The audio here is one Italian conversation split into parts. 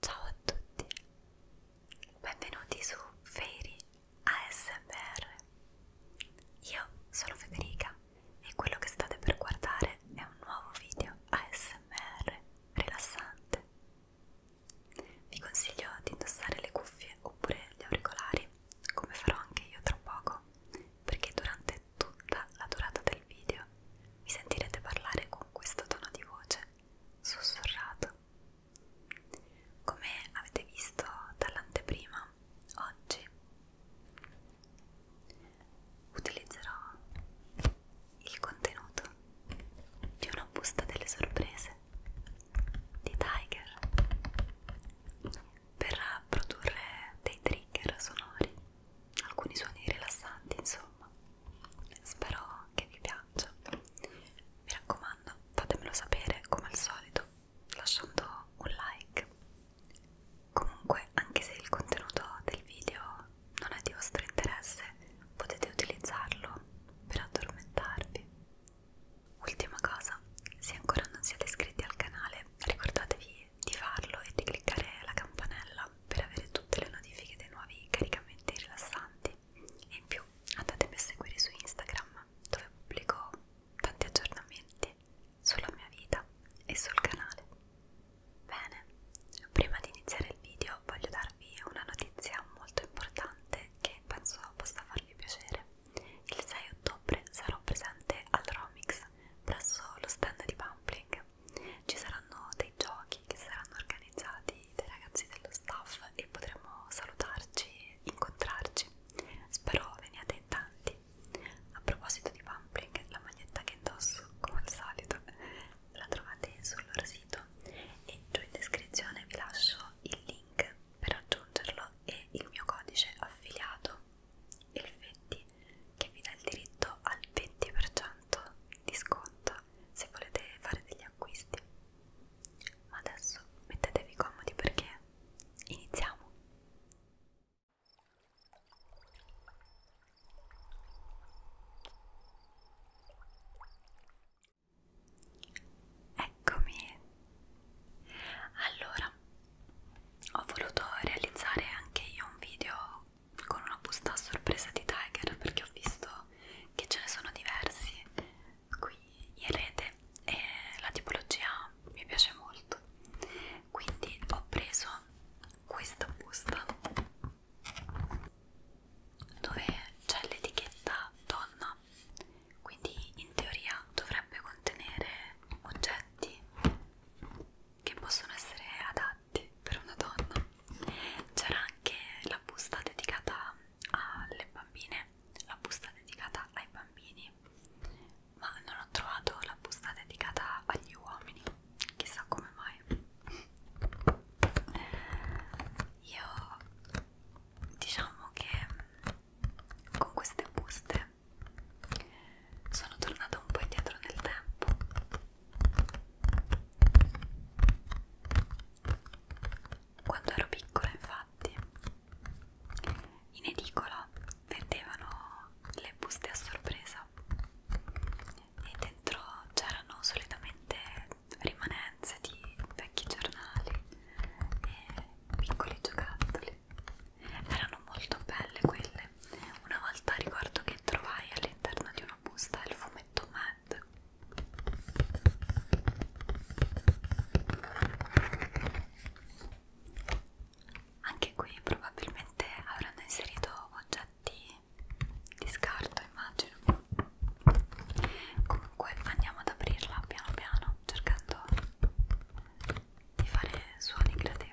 Ciao a tutti, benvenuti su Fairy ASMR. Io sono Federica e quello che state per guardare è un nuovo video ASMR rilassante. Vi consiglio di indossare le cuffie oppure gli auricolari, come farò anche io tra poco, perché durante tutta la durata del video mi sentirete parlare con questo tono di voce sussurrato. Come avete visto dall'anteprima, oggi utilizzerò il contenuto di una busta delle sorprese di Tiger per produrre dei trigger sonori, alcuni suoni rilassanti insomma spero che vi piaccia mi raccomando fatemelo sapere come al solito lasciando un like comunque anche se il contenuto del video non è di vostro interesse potete utilizzarlo per addormentarvi ultima cosa se ancora non siete iscritti al canale ricordatevi di farlo e di cliccare la campanella campanella per avere tutte le notifiche dei nuovi caricamenti rilassanti e in più andatemi a seguire su Instagram dove pubblico tanti aggiornamenti sulla mia vita e sul canale. Bene, prima di iniziare il video voglio darvi una notizia molto importante che penso possa farvi piacere. Il 6 ottobre sarò presente al Romix presso lo stand di Pumpling ci saranno dei giochi che saranno organizzati dai ragazzi dello staff e potremo salutarci e incontrarci. Spero veniate in tanti. A proposito di Pumpling, la maglietta che indosso, come al solito, la trovate sul loro sito e giù in descrizione vi lascio il link per aggiungerlo e il mio codice affiliato il 20 che vi dà il diritto al 20% di sconto gratuita se volete fare degli acquisti ma adesso mettetevi comodi perché iniziamo Eccomi. Allora, ho voluto realizzare anche io un video con una busta a sorpresa di Tiger perché ho visto che ce ne sono diversi qui in rete e la tipologia mi piace molto quindi ho preso questa busta dove c'è l'etichetta donna quindi in teoria dovrebbe contenere oggetti che possono essere adatti avanti per una donna c'era anche la busta dedicata alle bambine la busta dedicata ai bambini ma non ho trovato la busta dedicata agli uomini chissà come mai io diciamo che con queste buste sono tornata un po' indietro nel tempo quando ero piccola, infatti, in edicola vendevano le buste a sorpresa e dentro c'erano solitamente rimanenze di vecchi giornali e piccoli giocattoli. Erano molto belle quelle. Una volta ricordo che trovai all'interno di un robusta del fumetto Mad. Anche qui probabilmente avranno inserito oggetti di scarto, immagino. Comunque andiamo ad aprirla piano piano, cercando di fare suoni gradevoli.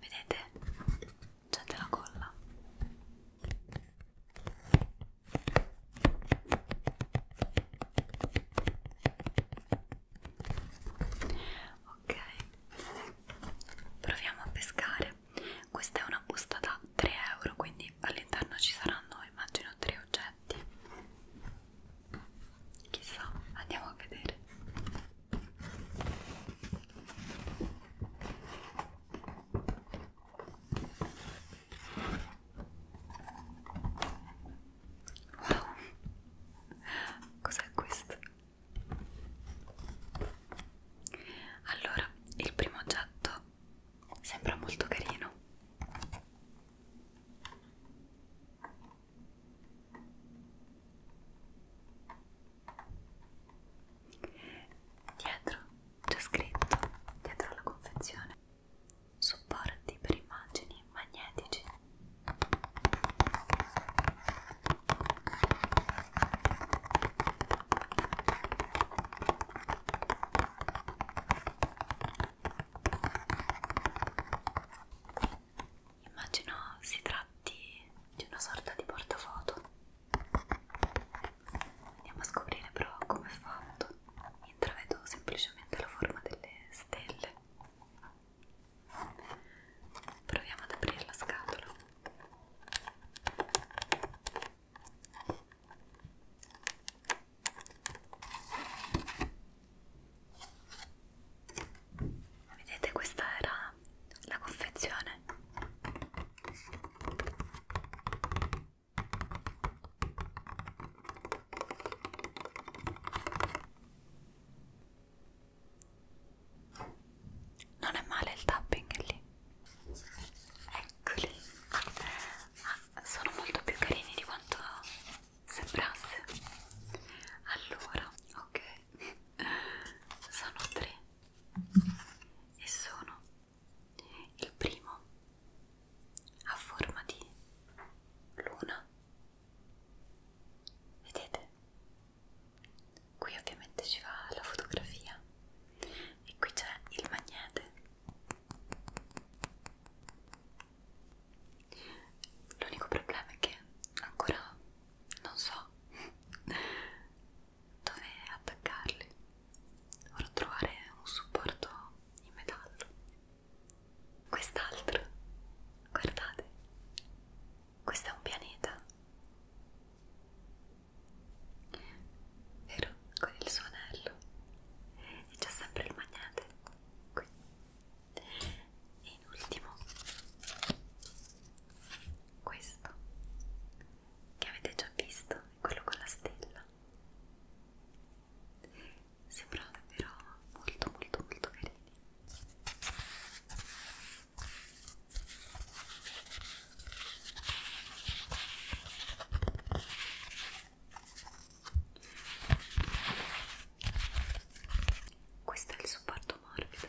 Vedete? C'è della colla. Ok, proviamo a pescare. Questa è una busta da 3 euro, quindi all'interno ci saranno immagino 3 oggetti effetti chissà andiamo a vedere wow cos'è questo allora il primo oggetto sembra molto carino Dietro c'è scritto, dietro la confezione, supporti per immagini magnetici. Immagino si tratti di una sorta di portafoto. Andiamo a scoprire però come è fatto. Intravedo semplicemente la forma delle stelle. Proviamo ad aprire la scatola. Vedete, questa era la confezione. Non è male il tapping lì. Eccoli. Ah, sono molto più carini di quanto sembrasse allora ok sono tre e sono il primo a forma di luna vedete qui ovviamente ci va la fotografia e qui c'è il magnete L'unico problema è che ancora non so dove attaccarli. Dovrò trovare un supporto in metallo. Quest'altro, guardate, questo è un pianeta. Vero? Con il suo anello. E c'è sempre il magnete qui e in ultimo questo che avete già visto quello con la stella sembra davvero molto molto molto carini questo è il supporto morbido.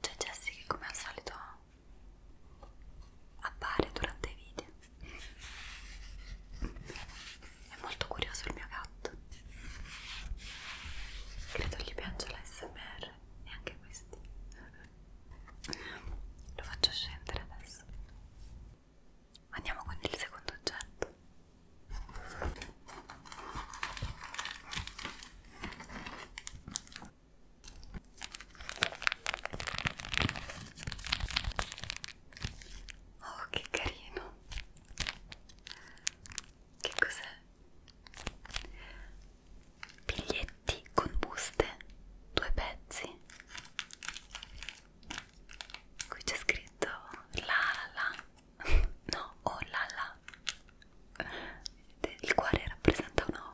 C'è cioè, Jessie che come al solito appare durante i video. È molto curioso il mio gatto. Credo gli piaccia l'ASMR e anche questi. Lo faccio scendere adesso. Andiamo con il secondo oggetto. Oh, che carino! Che cos'è? Biglietti con buste, due pezzi. Qui c'è scritto la la, no, o oh, la la, ma il cuore rappresenta un uomo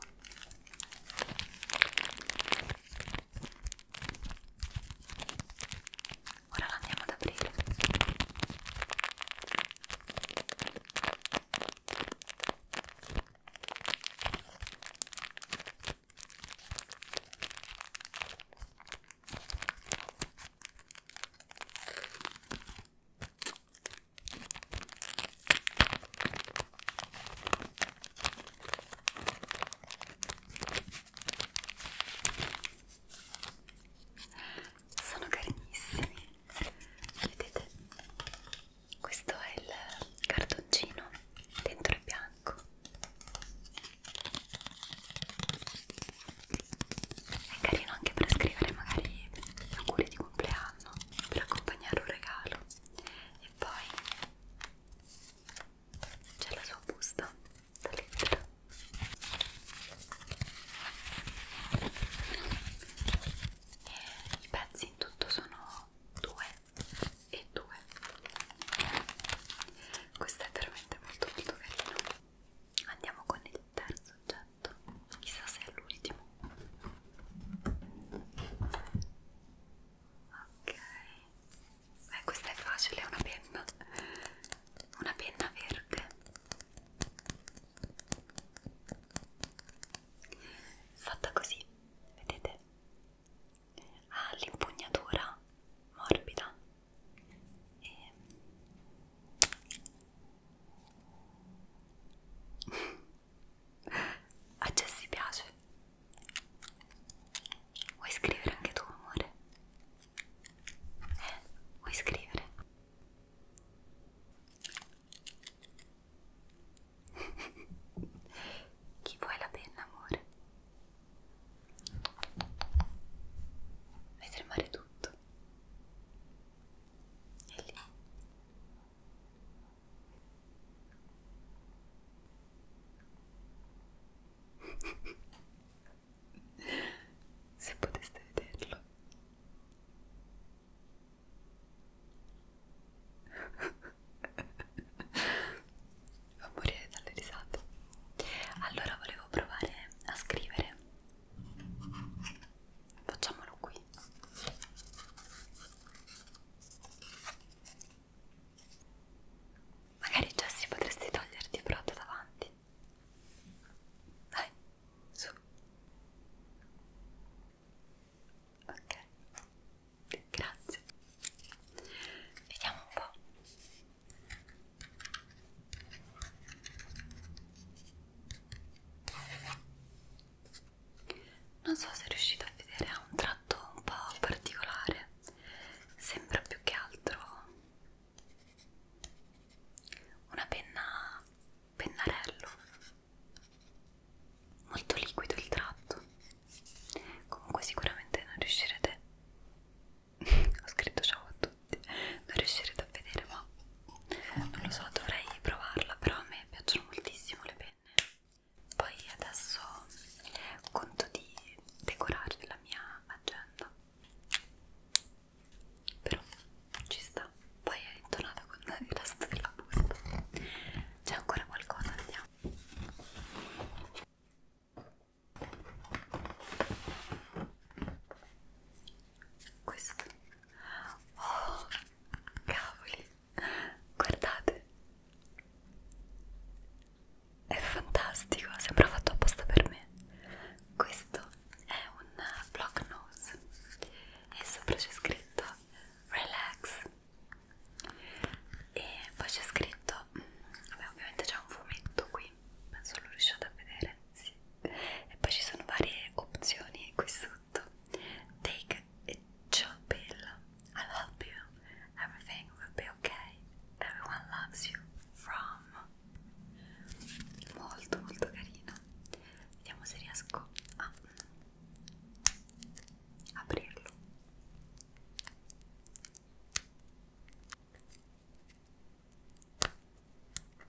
ora la andiamo ad aprire sono carinissimi. Vedete? Questo è il cartoncino, dentro è bianco. È carino anche per scrivere magari auguri di compleanno per accompagnare un regalo e poi c'è la sua busta da lettera e i pezzi in tutto sono due e due questo è veramente molto molto carino andiamo con il terzo oggetto, chissà se è l'ultimo. Ok, beh questa è facile, è una penna, una penna verde. Fatta così, vedete? Ha ah, l'impugnatura morbida e a Jessy piace. Vuoi scrivere anche tu, amore? Eh, vuoi scrivere? Chi vuoi la penna, amore? Vai tremare tutto è lì se poteste vederlo fa morire dalle risate allora volevo provare a scrivere Facciamolo qui. Magari Jessie potresti toglierti il brodo davanti. Vai, su. Ok, grazie. Vediamo un po' non so se riuscite a vedere ha un tratto un po' particolare sembra più che altro una penna pennarello molto liquido il tratto comunque sicuramente non riuscirete ho scritto ciao a tutti non riuscirete a vedere ma non lo so, dovrei provarla, però a me piacciono moltissimo le penne. Poi adesso conto di decorare la mia agenda. Però ci sta. Poi è intonata con il resto della busta. C'è ancora qualcosa, vediamo. Questo Oh, cavoli, guardate, è fantastico, sembra fatto apposta per me. Questo è un block nose e sopra c'è scritto relax e poi c'è scritto, mm, vabbè ovviamente c'è un fumetto qui, penso lo riusciate a vedere sì. e poi ci sono varie opzioni qui sotto take a chill pill I'll help you everything will be okay everyone loves you from molto molto carino vediamo se riesco a mm, aprirlo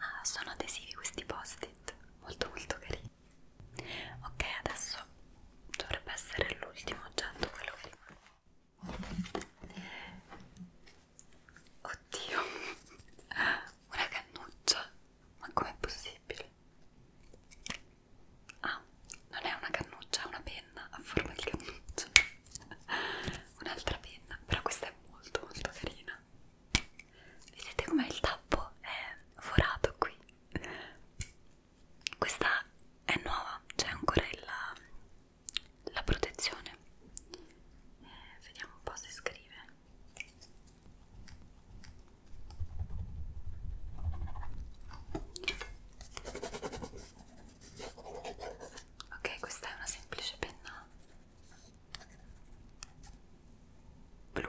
Ah, sono adesivi questi post-it, molto molto carini. Ok, adesso dovrebbe essere l'ultimo oggetto quello che rimane. Oddio, una cannuccia, ma com'è possibile? Ah, non è una cannuccia, è una penna a forma di cannuccia. Un'altra penna, però questa è molto molto carina carina vedete com'è il tappo? è forato qui questa è nuova c'è ancora la, la protezione eh, vediamo un po' se scrive ok questa è una semplice penna blu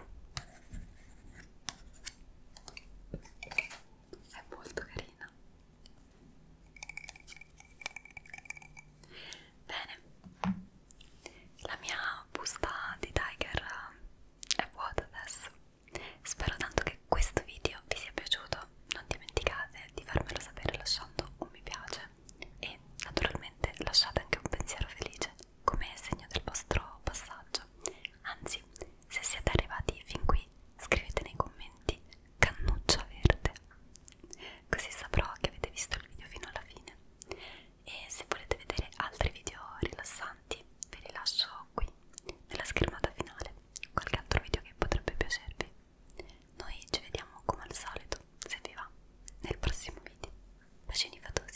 è molto carina bene la mia busta di Tiger eh, è vuota adesso spero tanto che questo video vi sia piaciuto non dimenticate di farmelo sapere lasciando un mi piace e naturalmente lasciate anche un pensiero felice come segno del vostro passaggio. Anzi, se siete arrivati fin qui, scrivete nei commenti cannuccia verde, così saprò che avete visto il video fino alla fine. E se volete vedere altri video rilassanti, ve li lascio qui nella schermata finale, qualche altro video che potrebbe piacervi. Noi ci vediamo come al solito, se vi va, nel prossimo video. Bacini fatosi.